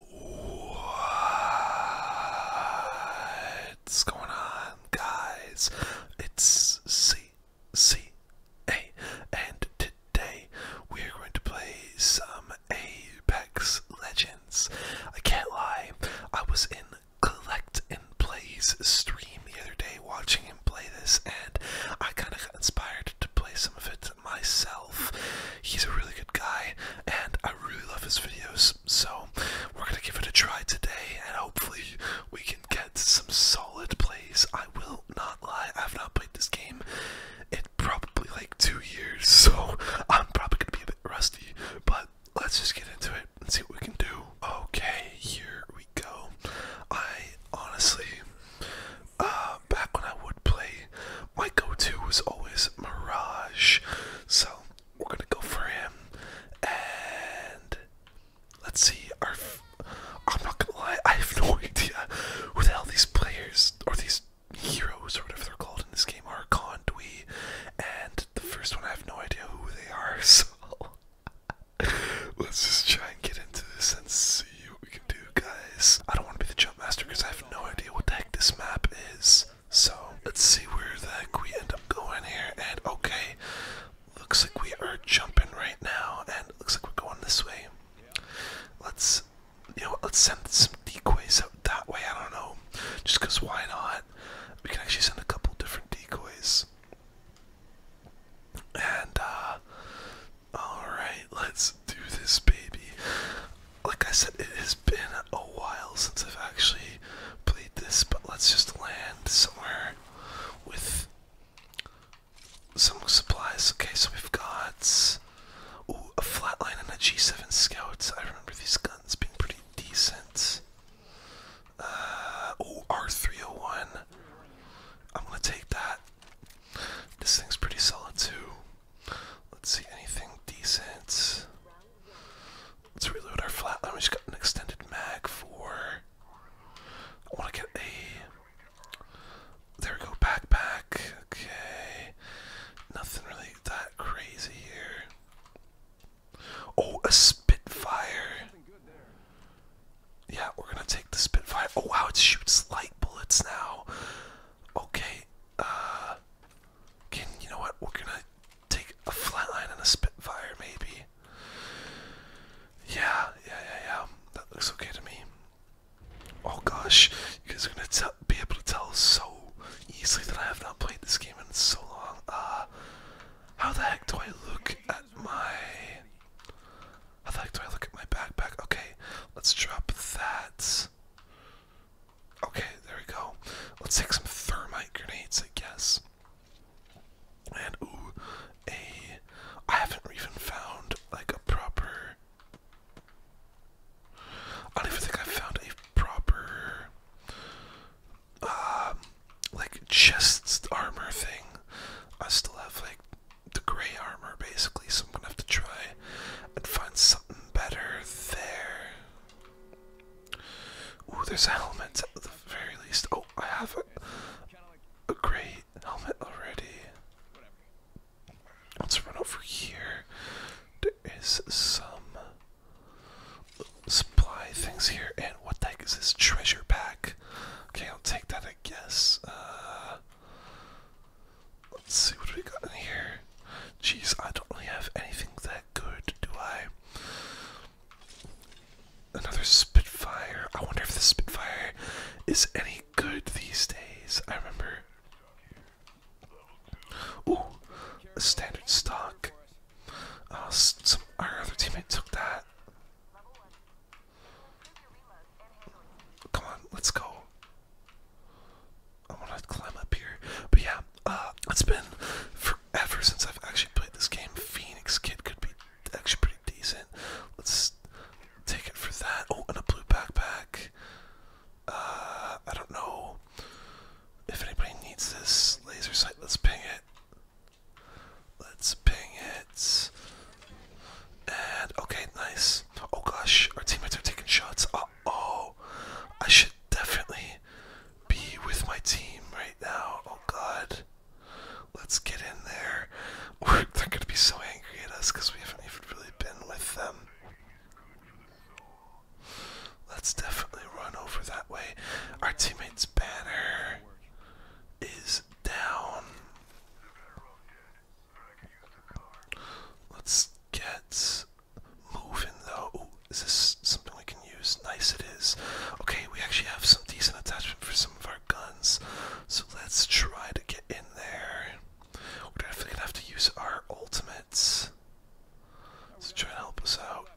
What's going on, guys? It's C C A, and today we are going to play some Apex Legends. I can't lie, I was in Collect and Play's stream the other day watching him play this, and I kind of got inspired to play some of it myself. He's a really good guy, and I really love his videos. So we're gonna give it a try today, and hopefully we can get some solid plays. I will not lie, I've not played this game in probably like two years, so I'm probably gonna be a bit rusty. But let's just get into it and see what we can do. Okay, here we go. I honestly, uh, back when I would play my go-to was always Mirage. So we're gonna go for him, and let's see. I'm not gonna lie, I have no idea who the hell these players or these heroes or whatever they're called in this game are. Condui, and the first one, I have no idea who they are. So let's just try and get into this and see what we can do, guys. I don't want to be the jump master because I have no idea what the heck this map is. So let's see where the we end up going here. And okay, looks like we are jumping right now, and looks like we're going this way. Let's, you know, let's send some decoys out that way. I don't know, just cause why not? We can actually send a couple different decoys. And uh, all right, let's do this, baby like I said, it has been a while since I've actually played this, but let's just land somewhere with some supplies. Okay, so we've got ooh, a flatline and a G7 Scout. I remember these guns being pretty decent. Uh, oh, R301. I'm gonna take that. This thing's pretty solid too. Let's see, anything decent. Let's reload our flat. I just got an extended mag for. I want to get a. There we go, backpack. Okay. Nothing really that crazy here. Oh, a Spitfire. Yeah, we're gonna take the Spitfire. Oh, wow, it shoots light bullets now. Okay. Uh, can you know what? We're gonna take a flatline and a spitfire, maybe. Yeah, yeah, yeah, yeah. That looks okay to me. Oh gosh, you guys are gonna be able to tell so easily that I have not played this game in so long. Uh, how the heck do I look at my? How the heck do I look at my backpack? Okay, let's drop that. Okay, there we go. Let's take some thermite grenades, I guess. And ooh, a I haven't even found like a proper I don't even think I found a proper um like chest armor thing. I still have like the gray armor basically, so I'm gonna have to try and find something better there. Ooh, there's a helmet at the very least. Oh, I have a, a great helmet already. Let's run over here. There is some supply things here. And what the heck is this treasure pack? Okay, I'll take that, I guess. Uh, Let's see what we got in here. Jeez, I don't really have anything that good, do I? Another Spitfire. I wonder if the Spitfire is any good these days. I remember. Ooh, a standard stock. Uh, some, our other teammate took that. Come on, let's go. I want to climb up here. But yeah, uh, it's been forever since I've actually played this game. Phoenix Kid could be actually pretty decent. Let's take it for that. Oh, and a blue backpack. Uh, I don't know if anybody needs this laser sight. Let's ping it. Let's ping it. And okay, nice. Oh gosh, our teammates are taking shots. Uh, oh, I should definitely be with my team right now. Oh God, let's get in there. We're, they're gonna be so angry at us because we haven't even really been with them. Let's definitely run over that way. Our teammate's banner is down. Let's get moving though. is this something we can use? Nice it is. Okay, we actually have some decent attachment for some of our guns. So let's try to get in there. We're definitely gonna have to use our ultimates. So try and help us out.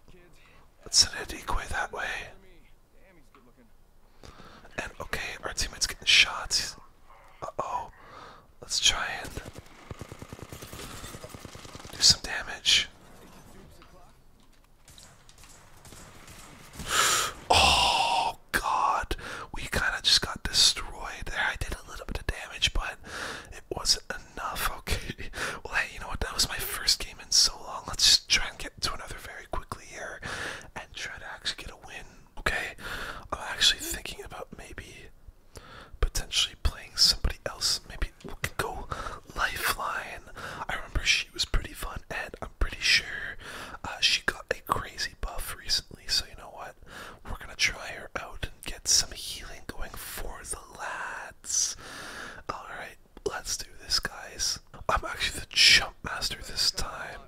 Let's send it decoy that way. And okay, our teammate's getting shot. Uh oh. Let's try and do some damage. Oh god, we kind of just got destroyed there. I did a little bit of damage, but it wasn't enough. Okay, well, hey, you know what? That was my first game in so long. Let's just try and get to another very quickly here and try to actually get a win. Okay, I'm actually thinking about maybe potentially playing somebody else. Maybe we can go Lifeline. I remember she was pretty fun, and I'm pretty sure uh, she got a crazy buff recently. So you know what? We're gonna try her out and get some healing going for the lads. All right, let's do this, guys. I'm actually the jump master this time.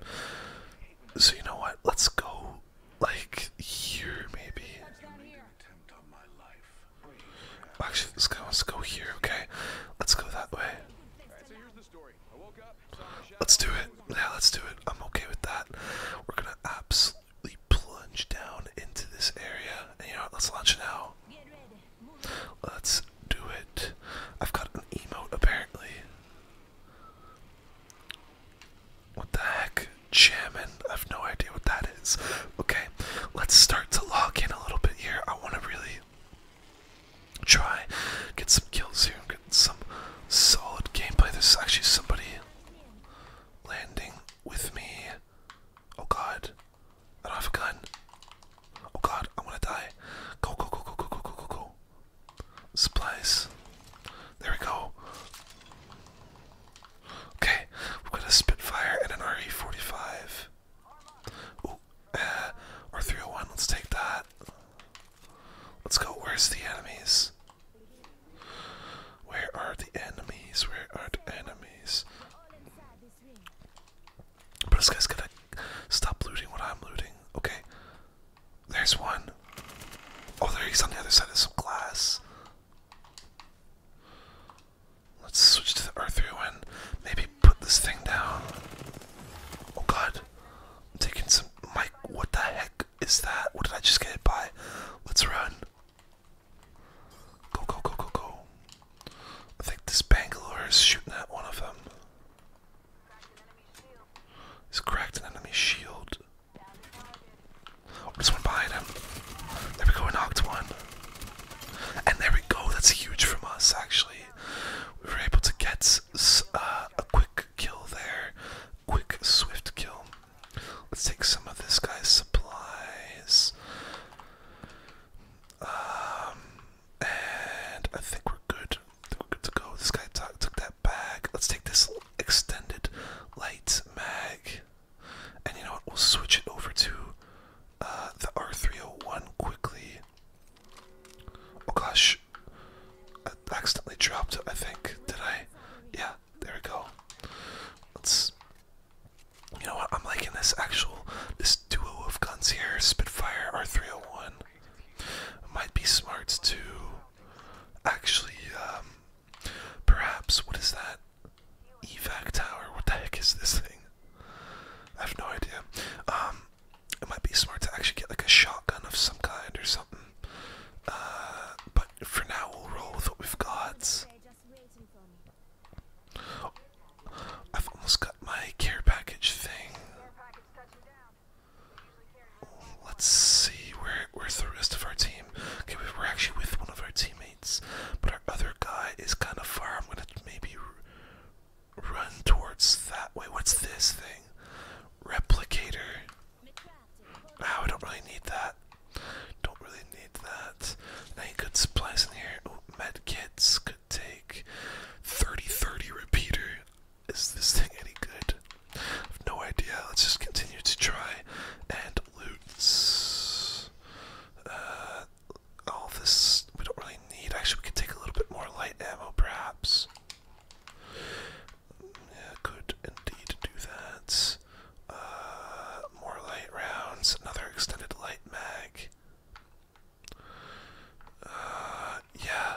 So you know what? Let's go like here maybe. Actually, this guy wants to go here. Okay, let's go that way. Let's do it. Yeah, let's do it. I'm okay with that. We're gonna absolutely plunge down into this area, and you know what? Let's launch now. Let's do it. I've got an emote apparently. What the heck? Jamming? I have no idea what that is. Okay, let's start to log in a little bit here. I want to really try get some kills here and get some solid gameplay. There's actually somebody landing with me. Oh god. I don't have a gun. Oh god, I'm gonna die. Go, go, go, go, go, go, go, go, go. Supplies. There we go. Okay, we got a Spitfire and an RE45. Ooh, or uh, 301, let's take that. Let's go, where's the enemies? Where are the enemies? Where are the enemies? But this guy's to stop looting what I'm looting. Okay, there's one. Oh, there he's on the other side of some glass. Let's switch to the R3 and maybe put this thing down. Oh god. I'm taking some Mike, what the heck is that? What did I just get hit by? Let's run. Go go go go go. I think this Bangalore is shooting at one of them. He's cracked an enemy shield. Oh, there's one behind him. There we go, knocked one. And there we go, that's huge from us actually. We were able to get uh, a quick kill there. Quick, swift kill. Let's take some of this guy's supplies. Um, and I think we're good. we're good to go. This guy took that that Let's take this extended light mag. And you know what? We'll switch it over to uh, the R301 quickly. Oh gosh. I accidentally dropped I think. Did I? Yeah, there we go. Let's. You know what? I'm liking this actual. This duo of guns here Spitfire R301. Might be smart to actually um, Perhaps, what is that? Evac tower? What the heck is this thing? I have no idea. Um, it might be smart to actually get like a shotgun of some kind or something. Uh, but for now we'll roll with what we've got. I've almost got my care package thing. Let's see, where, where's the rest of our team? Okay, we're actually with one of our teammates, but our other guy is kind of far. I'm gonna maybe run towards that way. What's this thing? Replicator. Oh, I don't really need that. Don't really need that. Any good supplies in here? Oh, med kits could take 30-30 repeater. Is this thing any good? no idea. Let's just continue to try and loot uh, all this. We don't really need. Actually, we could take a little bit more light ammo, perhaps. could indeed do that. Uh, more light rounds. Another extended light mag. Uh, yeah.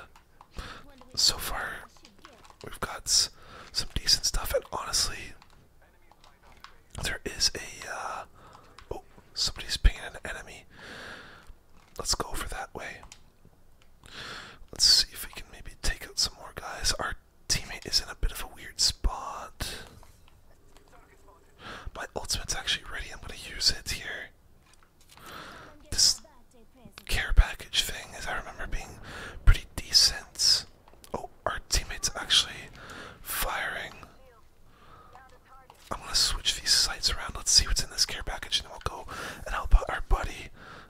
So far, We've got some decent stuff, and honestly, there is a. Uh, oh, somebody's painting an enemy. Let's go for that way. Let's see if we can maybe take out some more guys. Our teammate is in a bit of a weird spot. My ultimate's actually ready. I'm going to use it here. This care package thing, is, I remember, being pretty decent. Oh, our teammates actually firing. I'm gonna switch these sights around. Let's see what's in this care package, and we'll go and help out our buddy.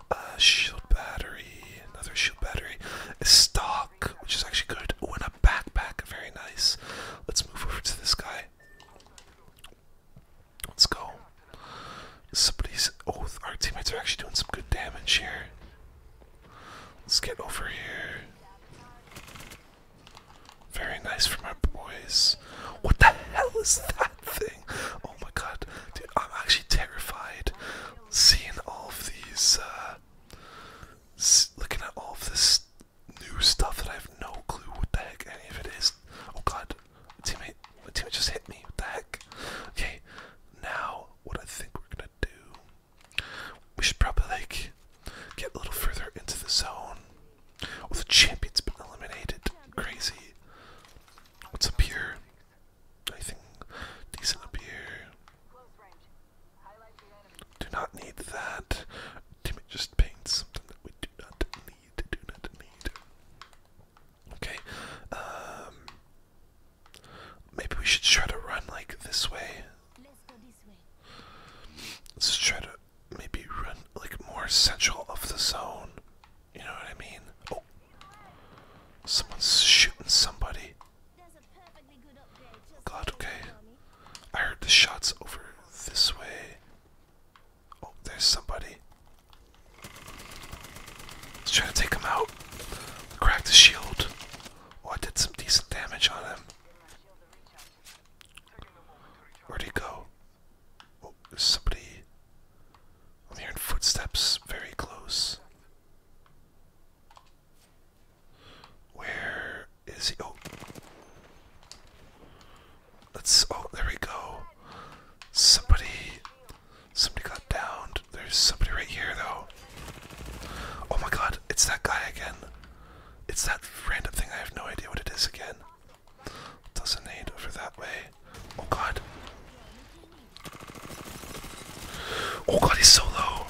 Uh, shield battery, another shield battery, stock, which is actually good. Oh, and a backpack, very nice. Let's move over to this guy. Let's go. Somebody's. Oh, our teammates are actually doing some good damage here. Let's get over here. Very nice for my boys. What the hell is that thing? Oh my god, dude, I'm actually terrified seeing all of these, uh, looking at all of this new stuff that I have no clue what the heck any of it is. Oh god, teammate, my teammate just hit me. What the heck? Okay, now what I think we're gonna do. We should probably like get a little further into the zone. Oh, the champion's been eliminated. Crazy. What's up here? I think decent up here? Do not need that. Teammate just paints something that we do not need. Do not need. Okay. Um, Maybe we should try to run like this way. Let's try to maybe run like more central of the zone. You know what I mean? Oh, someone's shooting somebody. God, okay. I heard the shots over this way. Oh, there's somebody. Let's try to take him out. Crack the shield. Oh, I did some decent damage on him. Where'd he go? Oh, there's somebody. I'm hearing footsteps very close. Where is he? Oh. Let's. Oh, there we go. Somebody Somebody got downed. There's somebody right here though. Oh my god, it's that guy again. It's that random thing. I have no idea what it is again. Doesn't need over that way. Oh god. Oh god, he's so low.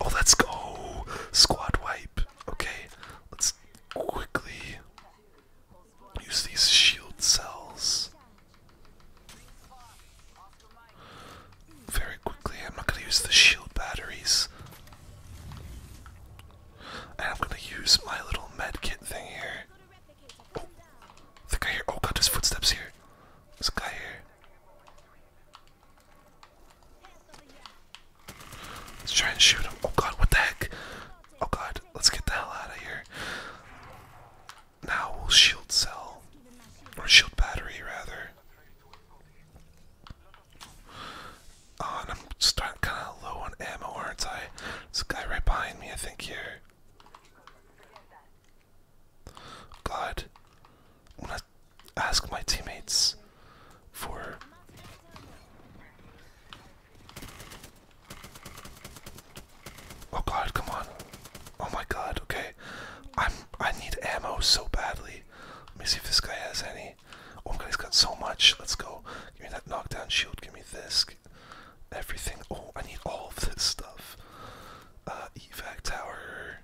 Oh, let's go. Squad wipe. Okay, let's quickly use these shield cells. Very quickly, I'm not going to use the shield batteries. I'm going to use my little medkit thing here. Oh, the guy here. Oh god, there's footsteps here. There's a guy here. Let's try and shoot him. Oh god, what the heck? Oh god, let's get the hell out of here. Now we'll shield cell, or shield battery rather. Oh, I'm starting kind of low on ammo, aren't I? There's a guy right behind me, I think, here. God, I'm gonna ask my teammates for Oh god, come on. Oh my god, okay. I'm I need ammo so badly. Let me see if this guy has any. Oh my god, he's got so much. Let's go. Give me that knockdown shield, give me this. Everything. Oh, I need all of this stuff. Uh, evac tower.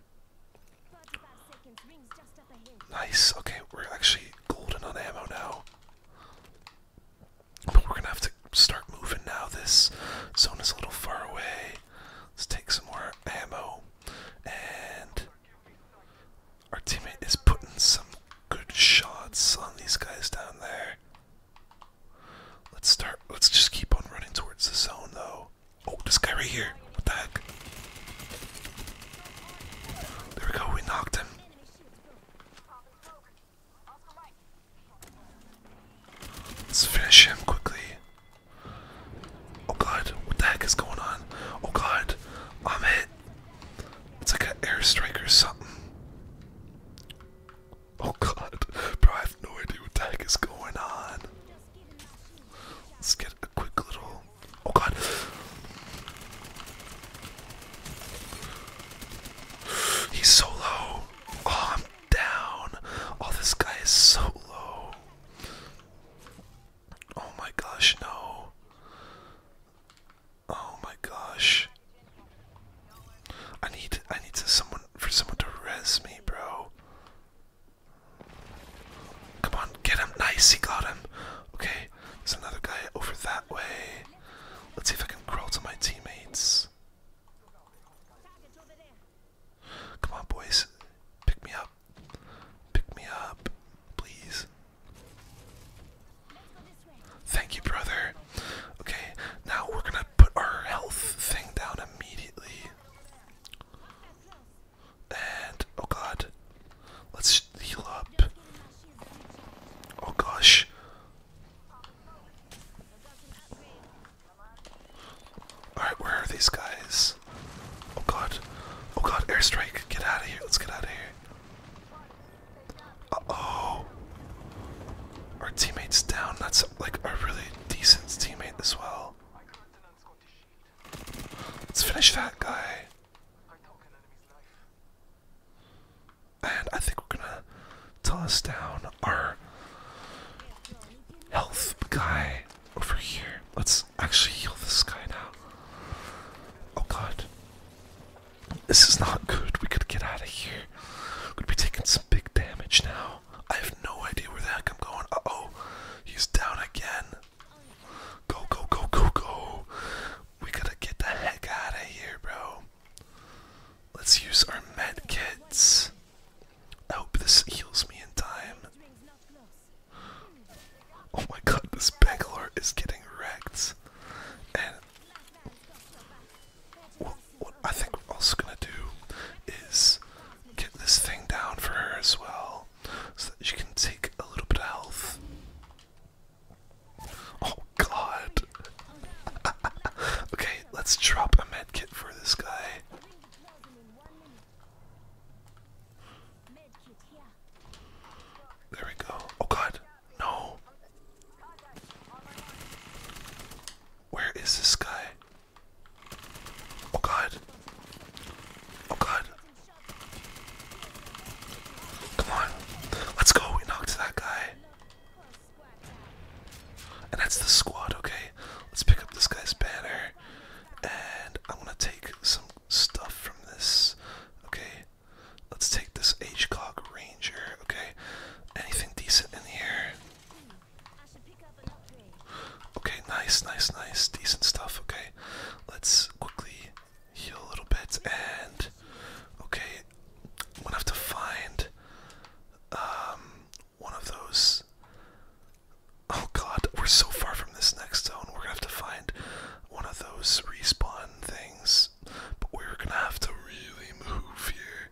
Nice. Okay, we're actually golden on ammo now. But we're gonna have to start moving now. This zone is a little far away. Let's take some more ammo. And our teammate is putting some good shots on these guys down there. Let's start. Let's just keep on running towards the zone, though. Oh, this guy right here. What the heck? There we go. We knocked him. Let's finish him quickly. Oh god, what the heck is going on? Oh god, I'm hit. It's like an airstrike or something. Oh god, bro, I have no idea what the heck is going on. Let's get a quick little. Oh god. He's so low. Oh, I'm down. Oh, this guy is so low. Oh my gosh, no. Oh my gosh. I need I need to someone for someone to res me, bro. Come on, get him. Nice, he got him. Okay, there's another guy over that way. Let's see if I can crawl to my teammates. Come on, boys. Pick me up. Pick me up, please. Thank you, brother. Okay, now we're gonna put our health thing down immediately. And, oh god. Let's heal up. Oh gosh. Alright, where are these guys? Oh god. Oh god, airstrike. Get out of here. Let's get out of here. Uh oh. Our teammate's down. That's like a really decent teammate as well. Let's finish that guy. And I think we're gonna toss down our health guy over here. Let's actually heal this guy now. Oh god. This is not good. We could get out of here. We're be taking some big damage now. I have no idea where the heck I'm going. Uh oh. He's down again. Go, go, go, go, go. We gotta get the heck out of here, bro. Let's use our med kits. I hope this heals me in time. Oh my god, this Bangalore is getting wrecked. And what, I think we're also gonna do is get this thing down for her as well so that she can take a little bit of health. Oh god. okay, let's drop a medkit for this guy. There we go. Oh god, no. Where is this guy? Oh god. Oh god. Come on. Let's go. We knocked that guy. And that's the squad, okay? Let's pick up this guy's banner. And I'm gonna take some stuff from this. Okay. Let's take this H-Cog Ranger, okay? Anything decent in here? Okay, nice, nice, nice. Decent stuff, okay? Let's quickly heal a little bit and okay, I'm have to find um, one of those. Oh god, we're so far from this next zone. We're gonna have to find one of those respawn things. But we're gonna have to really move here.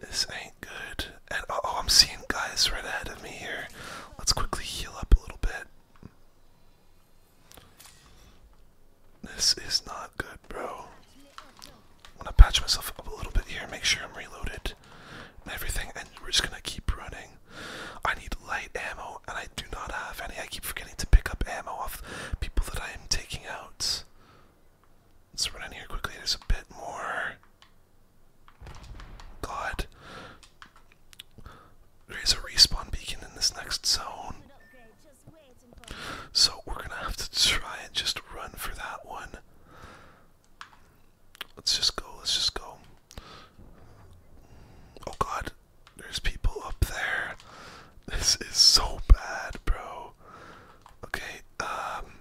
This ain't good. And uh, oh, I'm seeing guys right ahead of me here. Let's quickly heal up a little bit. This is not good, bro. I'm gonna patch myself up a little bit here, make sure I'm reloaded and everything, and we're just gonna keep running. I need light ammo, and I do not have any. I keep forgetting to pick up ammo off people that I am taking out. Let's run in here quickly, there's a bit more. God. There is a respawn beacon in this next zone. So we're gonna have to try and just run for that one. Let's just go, let's just go. Oh god, there's people up there. This is so bad, bro. Okay, um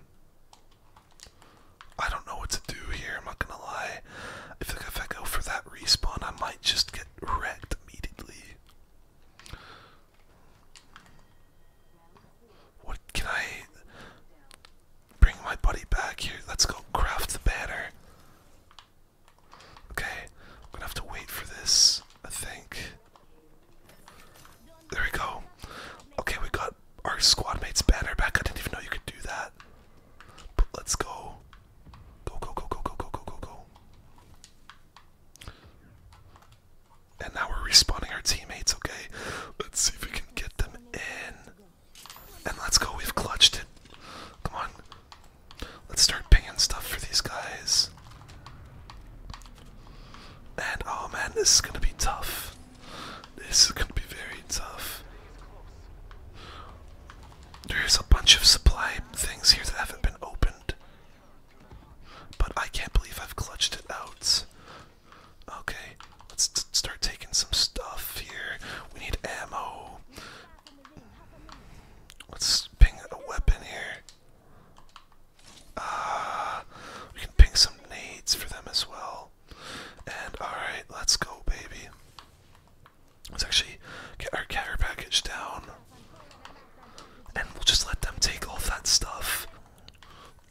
I don't know what to do here, I'm not gonna lie. I if I go for that respawn I might just get wrecked immediately. What can I bring my buddy back here? Let's go craft the banner. Okay, I'm gonna have to wait for this, I think. There we go. Okay, we got our squad mate's banner back. I didn't even know you could do that. But let's go. Go, go, go, go, go, go, go, go, go. And now we're respawning our teammates, okay? Let's see if we can get them in. And let's go, we've clutched it. Come on. Let's start picking stuff for these guys. And oh man, this is gonna be tough. This is gonna be very tough. There's a bunch of supply things here that haven't been opened. But I can't believe I've clutched it out. Okay, let's start taking some stuff here. We need ammo. Let's ping a weapon here. Ah, we can ping some nades for them as well. And alright, let's go, baby. Let's actually get our carrier package down. And we'll just let them take all that stuff.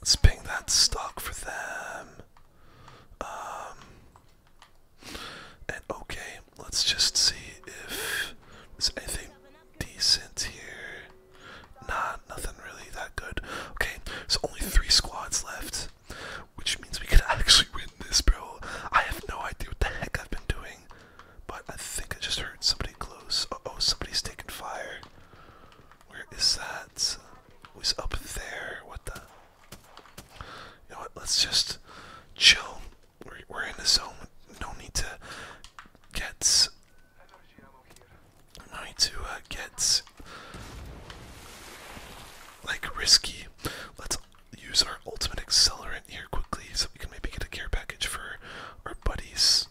Let's ping that stock for them. Um, and okay, let's just see if there's anything decent here. Nah, nothing really that good. Okay, so only three squads left, which means we could actually win this, bro. I have no idea what the heck I've been doing, but I think I just heard somebody close. oh, somebody's taking fire. Where is that? Who's up there? What the? You know what? Let's just chill. We're, in the zone. No need to get. No need to uh, get like risky. Let's use our ultimate accelerant here quickly so we can maybe get a care package for our buddies.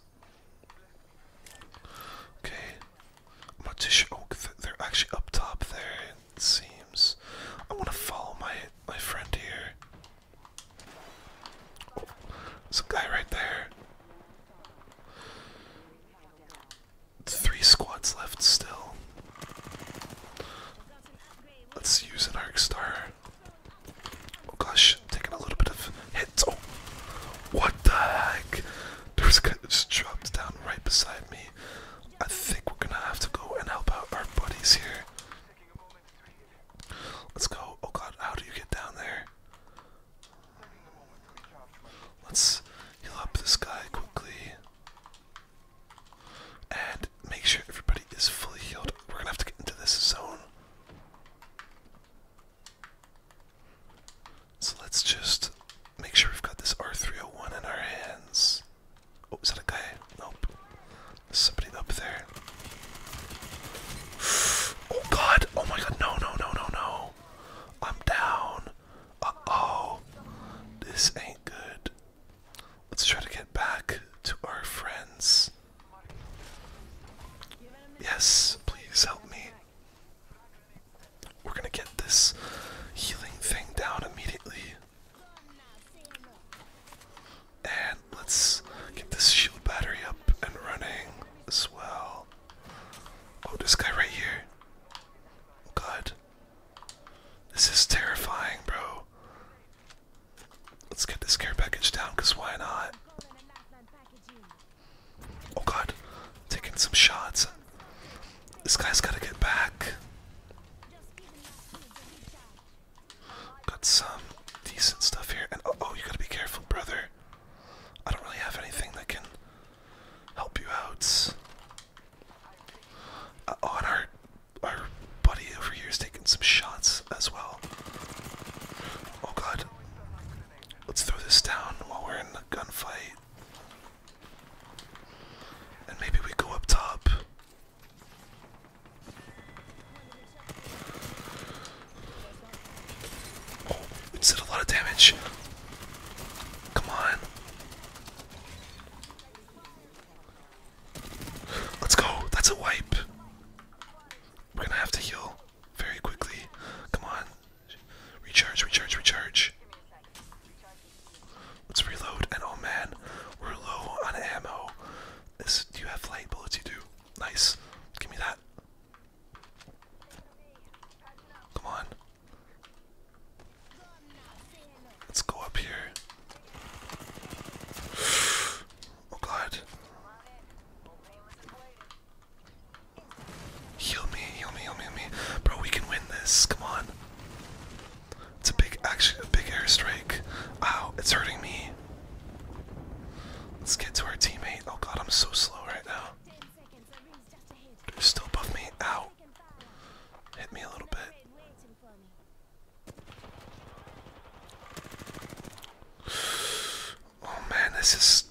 Okay, I'm Oh, they're actually up top there. It seems. I want to follow my my friend here. there's a guy right there. Three squads left still. Let's use an arc star. Oh gosh, taking a little bit of hits. Oh, what the heck? There's a guy just dropped down right beside me. I think we're gonna have to go and help out our buddies here. Let's go. Oh god, how do you get down there? Let's heal up this guy quickly. And make sure everybody is fully healed. We're gonna have to get into this zone. So let's just make sure we've got this R301 in our hands. Oh, is that a guy? Nope. There's somebody up there. Oh god! Oh my god! No! No! No! No! No! I'm down. Uh oh. This ain't good. Let's try to get back to our friends. Yes, please help me. We're gonna get this healing thing down immediately. And let's get this shield battery up and running as well. Oh, this guy right here. God. This is terrifying, bro. Let's get this care package down, because why not? Oh god, taking some shots. This guy's gotta get back. Got some decent stuff here. And oh, oh you gotta be careful, brother. I don't really have anything that can help you out. Uh, oh, our, our buddy over here is taking some shots as well. Oh god. Let's throw this down while we're in the gunfight. And maybe we go up top. Oh, did a lot of damage. Come on. Let's go. That's a wipe. We're gonna have to heal very quickly. Come on. Recharge, recharge, recharge. Let's reload. And oh man, we're low on ammo. do you have light bullets? You do. Nice. Give me that. Come on. Let's go up here. Oh god. Heal me, heal me, heal me, heal me. Bro, we can win this. Come on. It's a big, actually, a big airstrike. Ow, it's hurting me. Let's get to our teammate. Oh god, I'm so slow right now. They're still above me. Ow. Hit me a little bit. Oh man, this is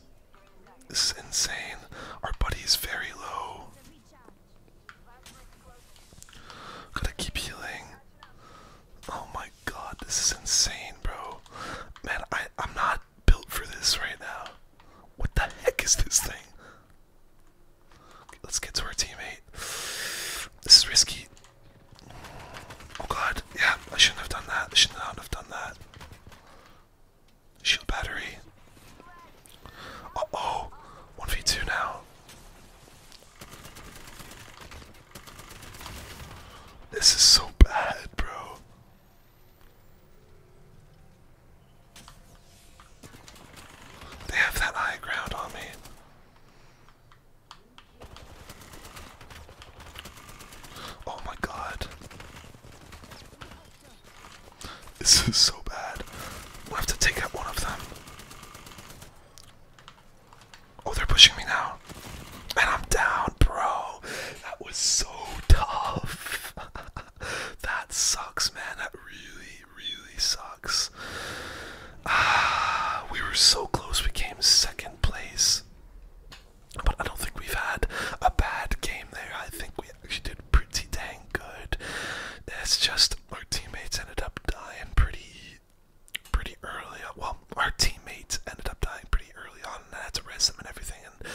this is insane. Our buddy is very low. Gotta keep healing. Oh my god, this is insane, bro. Man, I I'm not built for this right now. What the heck is this thing? let's get to our teammate. This is risky. Oh god, yeah, I shouldn't have done that. I should not have done that. Shield battery. Uh oh, v 2 now. This is so bad, bro. They have that high ground on me. Oh my god. This is so bad. we have to take out one of them. Oh, they're pushing me now. And I'm down, bro. That was so tough. that sucks, man. That really, really sucks. Ah, we were so close. We came second place. But I don't think we've had a bad game there. I think we actually did pretty dang good. It's just our teammates ended up dying pretty pretty early on. Well, our teammates ended up dying pretty early on and I had to res them and everything and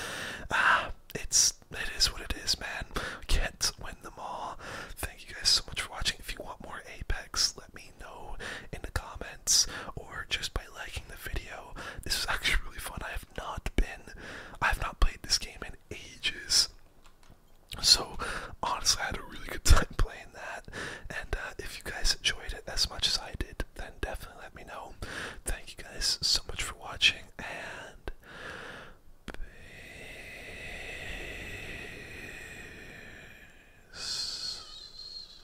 ah, it's it is what it is, man. Can't win them all. Thank you guys so much for watching. If you want more Apex, let me know in the comments or just by liking the video. This is actually really fun. I have not been, I have not played this game in ages. So honestly, I had a really good time playing that. And uh, if you guys enjoyed it as much as I did, then definitely let me know. Thank you guys so much for watching and peace.